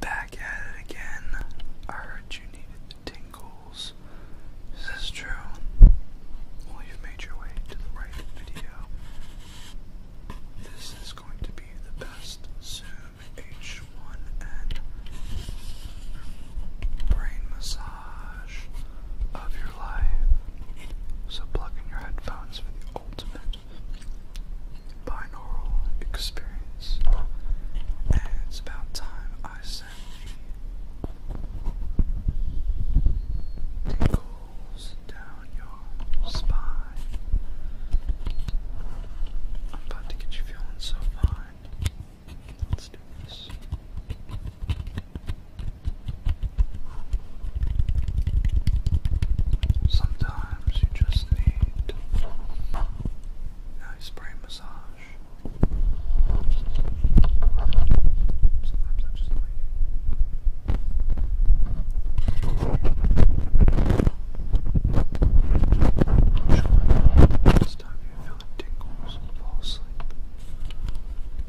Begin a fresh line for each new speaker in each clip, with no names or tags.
Back at it again. I heard you needed tingles. Is this true? Well, you made your way to the right video. This is going to be the best Zoom H1N brain massage of your so plug in your headphones for the ultimate binaural experience. And it's about time I sent tingles down your spine. I'm about to get you feeling so fine. Let's do this. Sometimes you just need nice spray massage. Sometimes I just like it. This time tingles and fall asleep.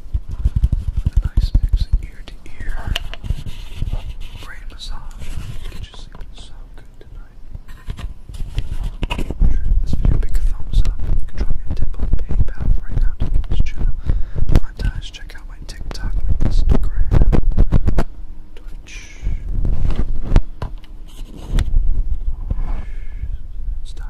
A nice mix in ear to ear. Brain massage. Get you sleeping so good tonight. Sure this video, big thumbs up. You can drop me a tip on PayPal right now to get this channel monetized. Check out my TikTok, Instagram, Twitch. It's time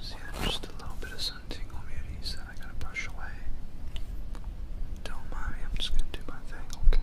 See, there's just a little bit of sun tingle muties that I gotta brush away. Don't mind me, I'm just gonna do my thing, okay?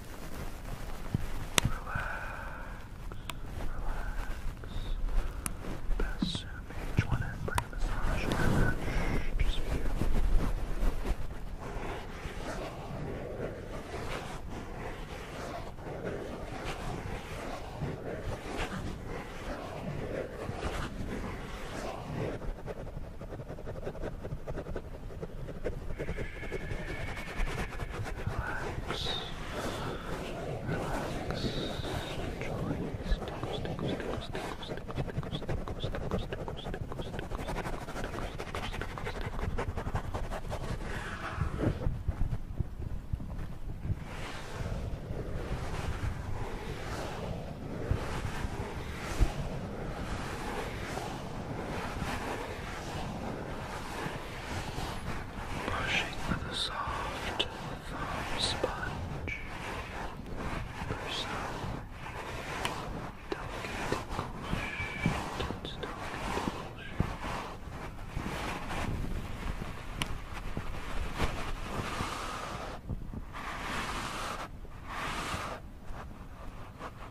relax. Best soon page one and bring a massage or just for you. Relax. Relax. Enjoy these tickles, tickles, tickles, tickles, tickles, tickles, tickles, tickles, tickles, tickles, Relax. Brushing with a soft foam sponge. For some delicate and delicate Brushing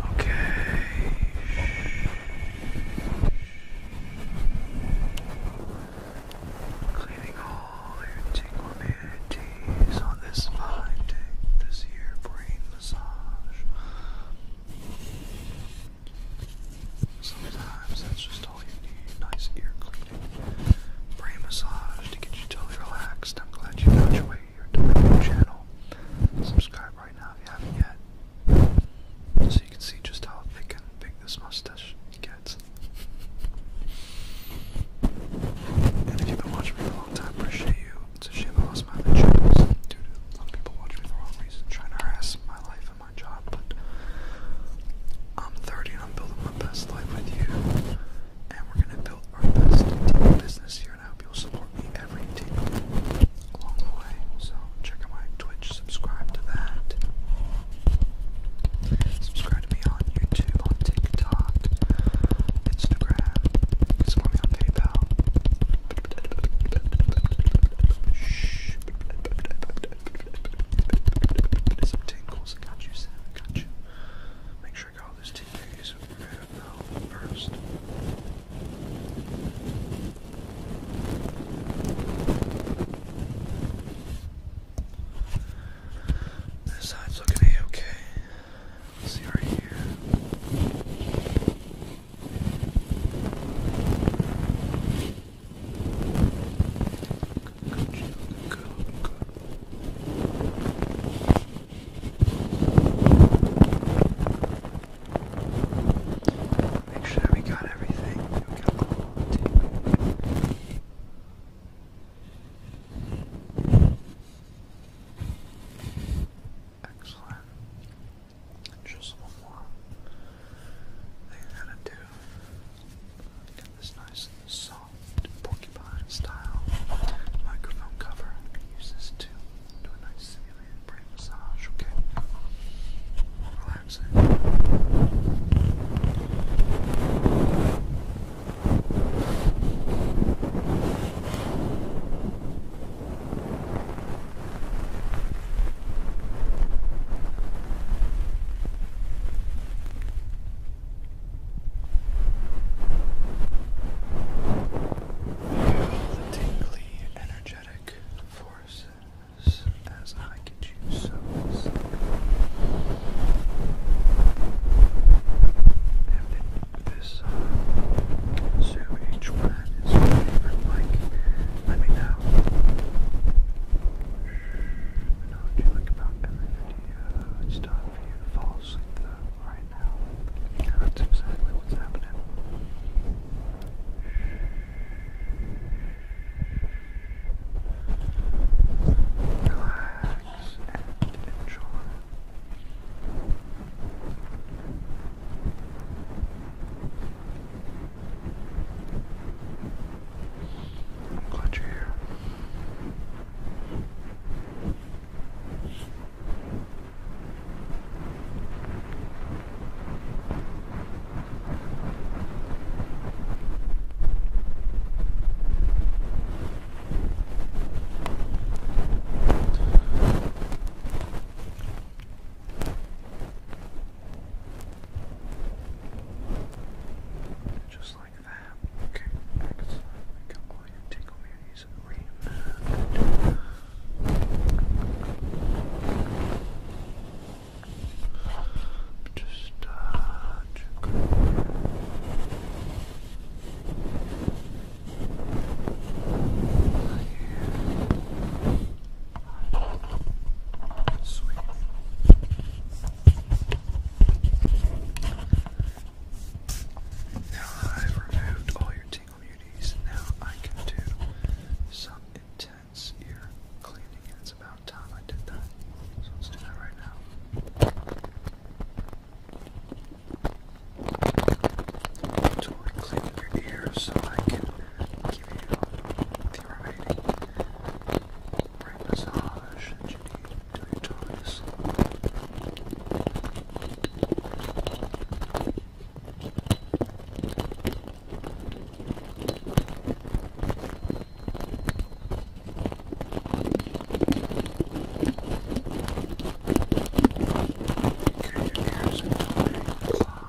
Okay. Cleaning all your tingle on this fine day, this year brain massage. Sometimes that's just all you need. Nice ear cleaning brain massage to get you totally relaxed. I'm glad you found your way here to my channel. Subscribe right now if you haven't yet, so you can see just how thick and big this mustache gets. And if you've been watching for a long time, appreciate you. It's a shame I lost my other channels due to some people watching me for the wrong reason, trying to harass my life my job, but I'm 30 and I'm building my best life with you. And we're going to build our best business here, and I hope you'll support me every day along the way. So check out my Twitch, subscribe to that. Subscribe to me on YouTube, on TikTok, Instagram. You can support me on PayPal. Shh. Some tingles, got you, got you. Make sure I got all those tingles right first. This side's looking a okay. see right here. Make sure we got everything. Excellent. Just one more. They had it too. Got this nice soft porcupine style microphone cover. I'm gonna use this to do a nice simulated brain massage, okay? Relaxing. Relaxing the tingly, energetic forces as I can choose so sleep. And in this uh, so each one is favored like let me know. I know what you like about every video. It's time for you to fall asleep though, right now. that's exactly what's happening. Relax and enjoy. I'm glad you're here. Just like that. Okay, excellent. We can go ahead take over your knees and read Just uh, check now I've removed all your tingle beauties. Now I can do some intense ear cleaning, it's about time I did that. So let's do that right now. Totally clean your ears so I can give you the remaining brain massage that you need to your toes. Okay, your ears are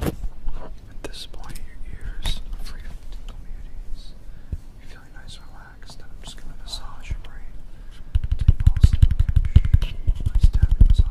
At this point, your ears are free You're feeling nice and relaxed, and I'm just going to massage your brain until you fall asleep. Nice tapping massage.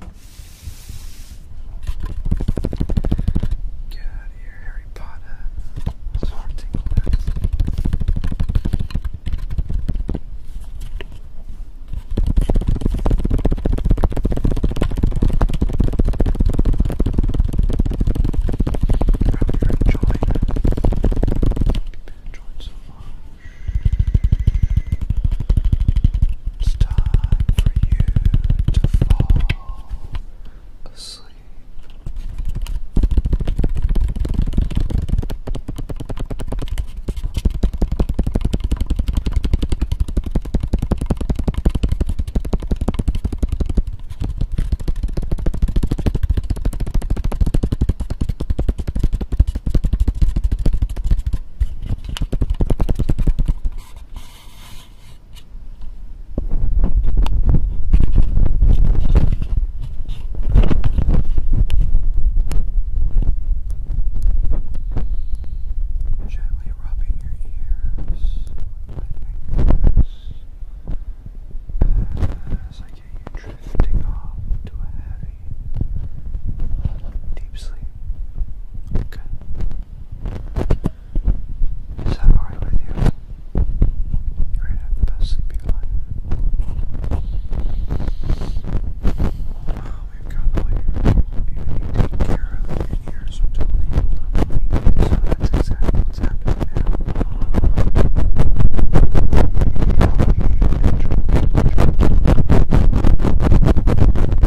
Get out of here, Harry Potter. That's what I'm thinking you're enjoying it. so far. It's time for you to fall asleep. Gently rubbing your ears with my as I get you drifting off to a heavy Deep sleep. Okay. Is that alright with you? You're going the best sleep of your life. Oh, we've got all you need to take care of your ears, which will leave lovely. that's exactly what's happening now.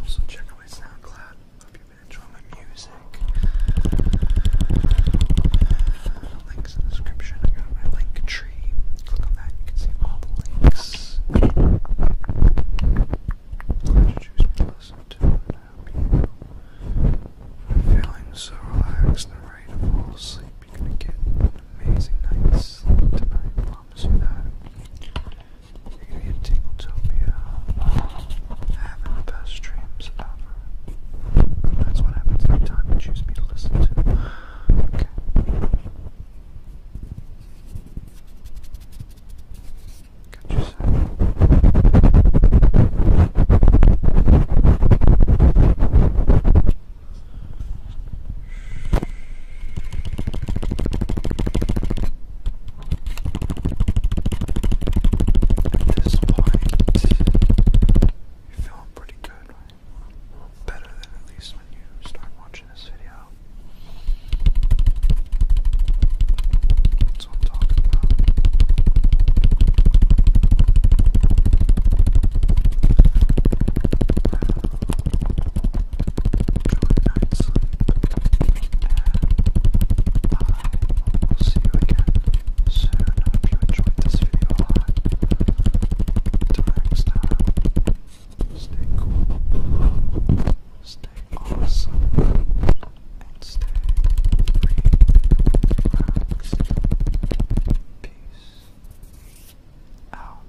Also check out my SoundCloud. Hope a drum music. Uh, links in description. I got my link tree. Click on that, you can see all the links. choose me to listen to feeling so relaxed and ready to fall asleep. You're gonna get an amazing night's sleep tonight, promise you that. You're going Tingletopia, having the best dreams ever. That's what happens every time you choose me to listen to. Okay. Got you set. At this point, you're feeling pretty good, Better than at least when you start watching this video. That's what I'm talking about and will see you again soon. I you enjoyed this video a lot. next time, stay cool, stay awesome, and stay relaxed. Peace out.